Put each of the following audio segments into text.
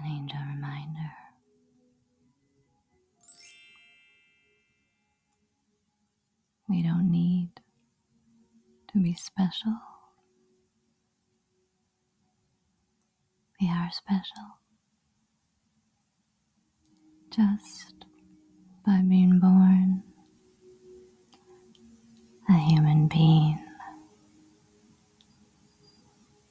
an angel reminder. We don't need to be special. We are special just by being born a human being.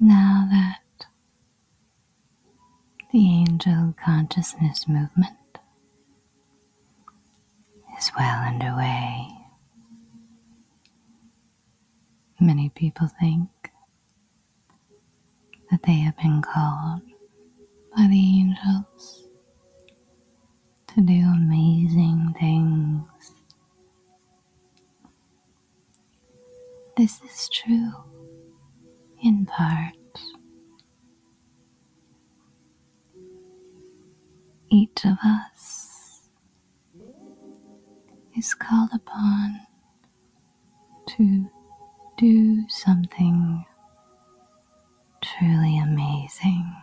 Now that the angel consciousness movement is well underway, many people think that they have been called by the angels to do amazing things. This is true in part. Each of us is called upon to do something truly amazing.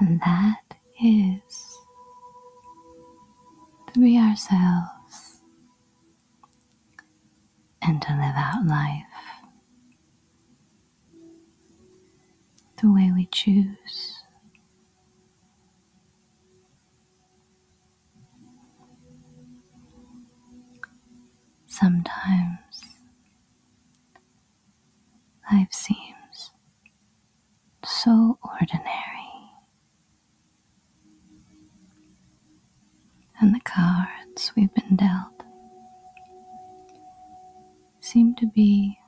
And that is to be ourselves and to live out life the way we choose. Sometimes Life seems so ordinary. And the cards we've been dealt seem to be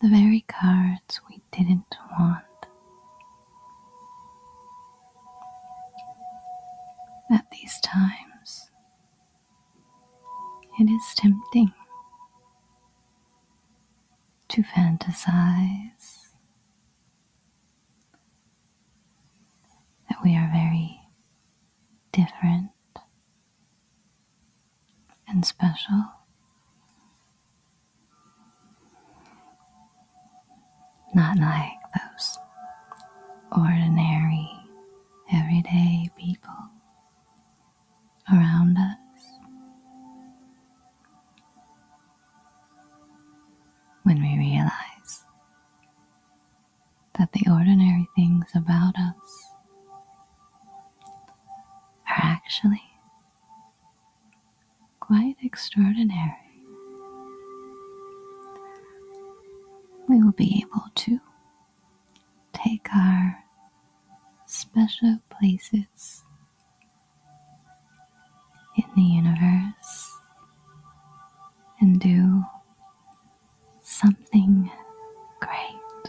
the very cards we didn't want. At these times, it is tempting to fantasize that we are very different and special. Not like those ordinary everyday people around us. When we realize that the ordinary things about us are actually quite extraordinary, we will be able to take our special places in the universe and do something great.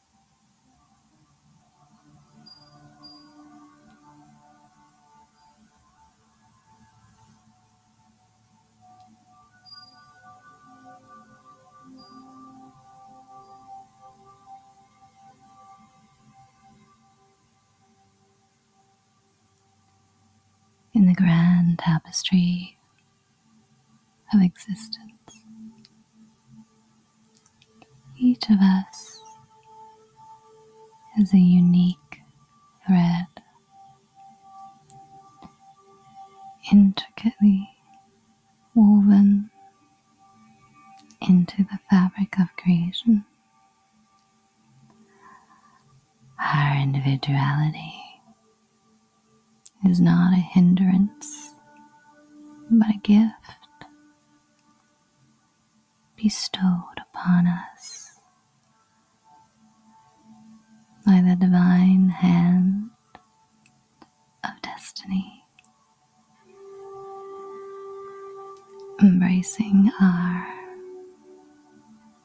in the grand tapestry of existence. Each of us is a unique thread, intricately woven into the fabric of creation. Our individuality is not a hindrance, but a gift bestowed upon us by the divine hand of destiny, embracing our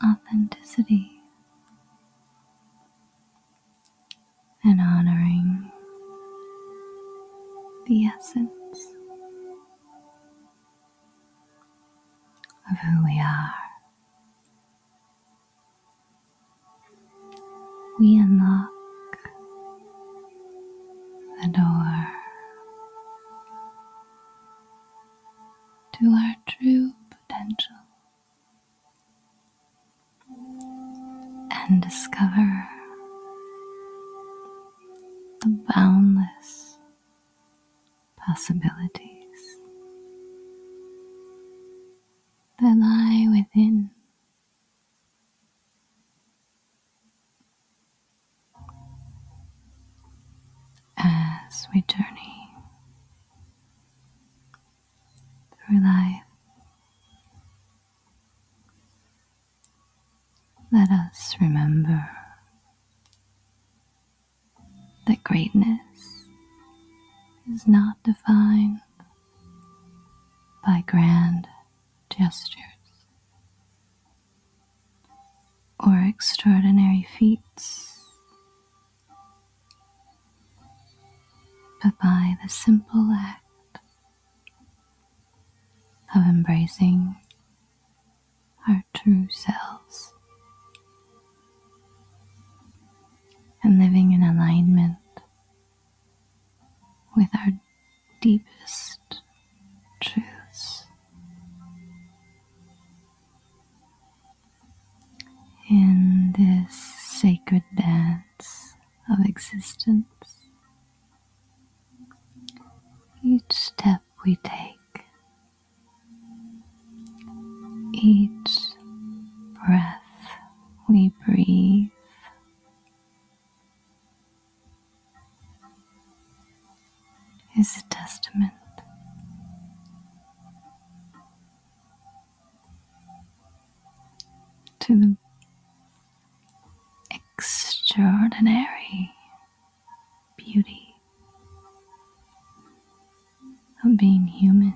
authenticity and honoring the essence of who we are. We unlock the door to our true potential and discover the boundless possibilities that lie within. As we journey through life let us remember that greatness is not defined by grand gestures or extraordinary feats, but by the simple act of embracing our true selves and living in alignment with our deepest truths. In this sacred dance of existence, each step we take, each breath we breathe. is a testament to the extraordinary beauty of being human.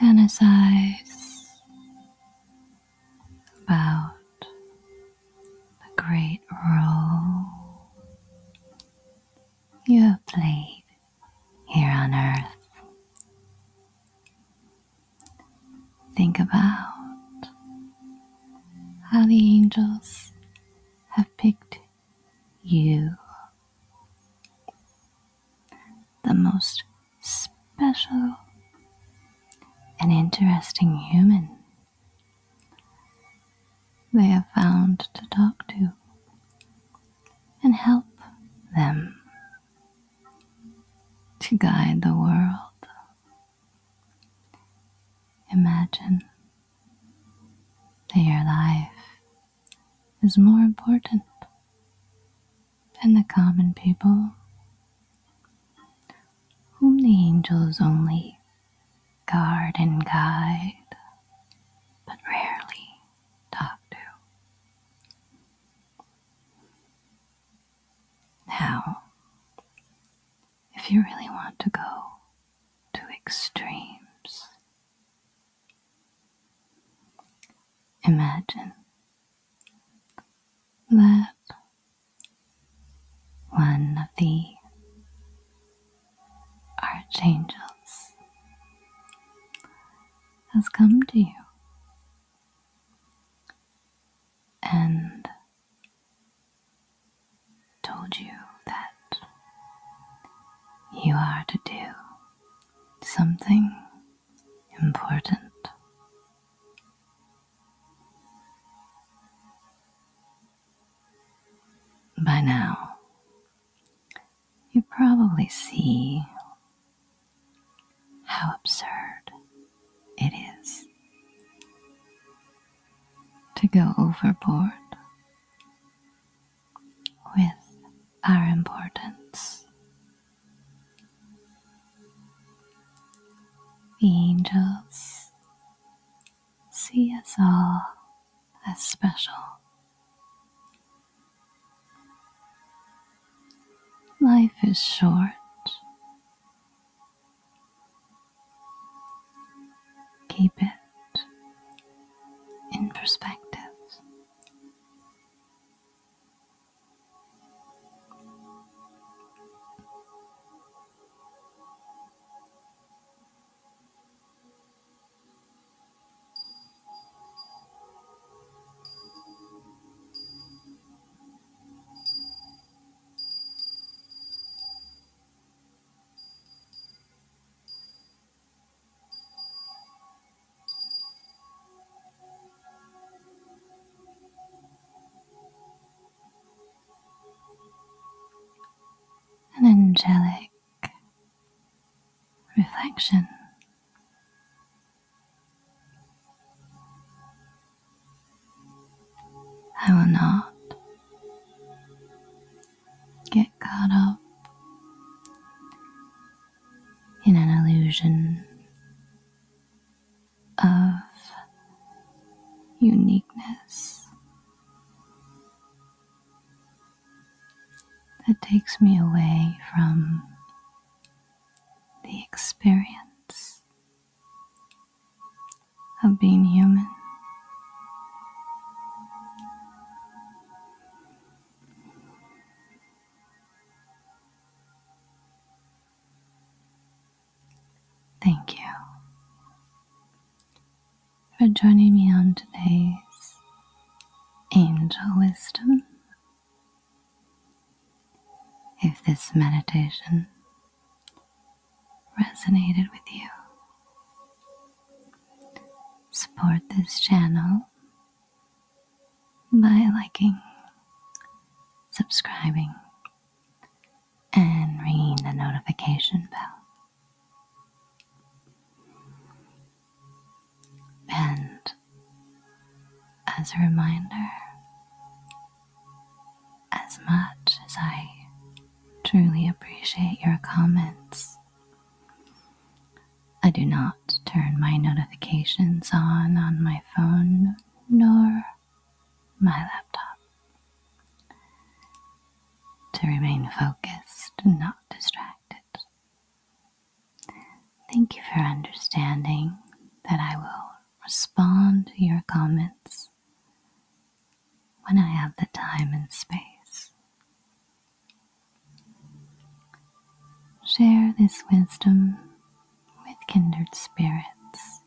Fantasize about the great role you have played here on earth. Think about how the angels have picked you. The most special and interesting human they have found to talk to and help them to guide the world. Imagine that your life is more important than the common people whom the angels only guard and guide, but rarely talk to. Now, if you really want to go to extremes. Imagine that one of the archangels has come to you and told you that you are to do something important. By now, you probably see how absurd it is to go overboard with our importance. The angels see us all as special. Life is short. Keep it in perspective. An angelic reflection. I will not get caught up in an illusion of uniqueness that takes me away from the experience of being human. Thank you for joining me on today's Angel Wisdom. If this meditation resonated with you. Support this channel by liking, subscribing, and ringing the notification bell. And as a reminder, as much as I truly appreciate your comments. I do not turn my notifications on on my phone nor my laptop. To remain focused and not distracted. Thank you for understanding that I will respond to your comments when I have the time and space. Share this wisdom with kindred spirits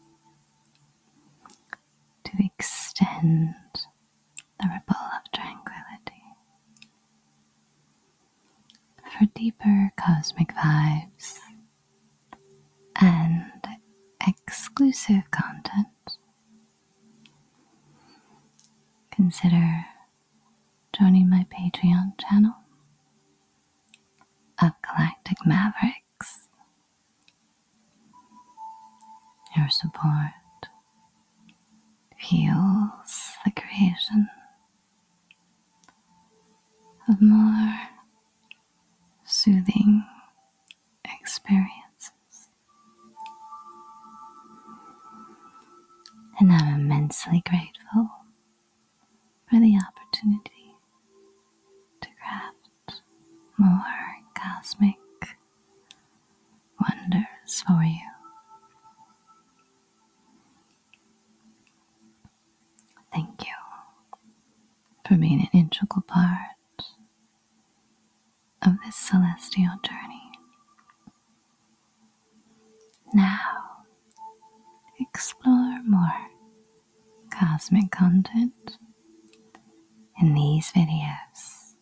to extend the ripple of tranquility for deeper cosmic vibes and exclusive content. Consider joining my Patreon channel of Galactic Mavericks. Your support fuels the creation of more soothing experiences and I'm immensely grateful for the opportunity to craft more cosmic wonders for you. Thank you for being an integral part of this celestial journey. Now, explore more cosmic content in these videos.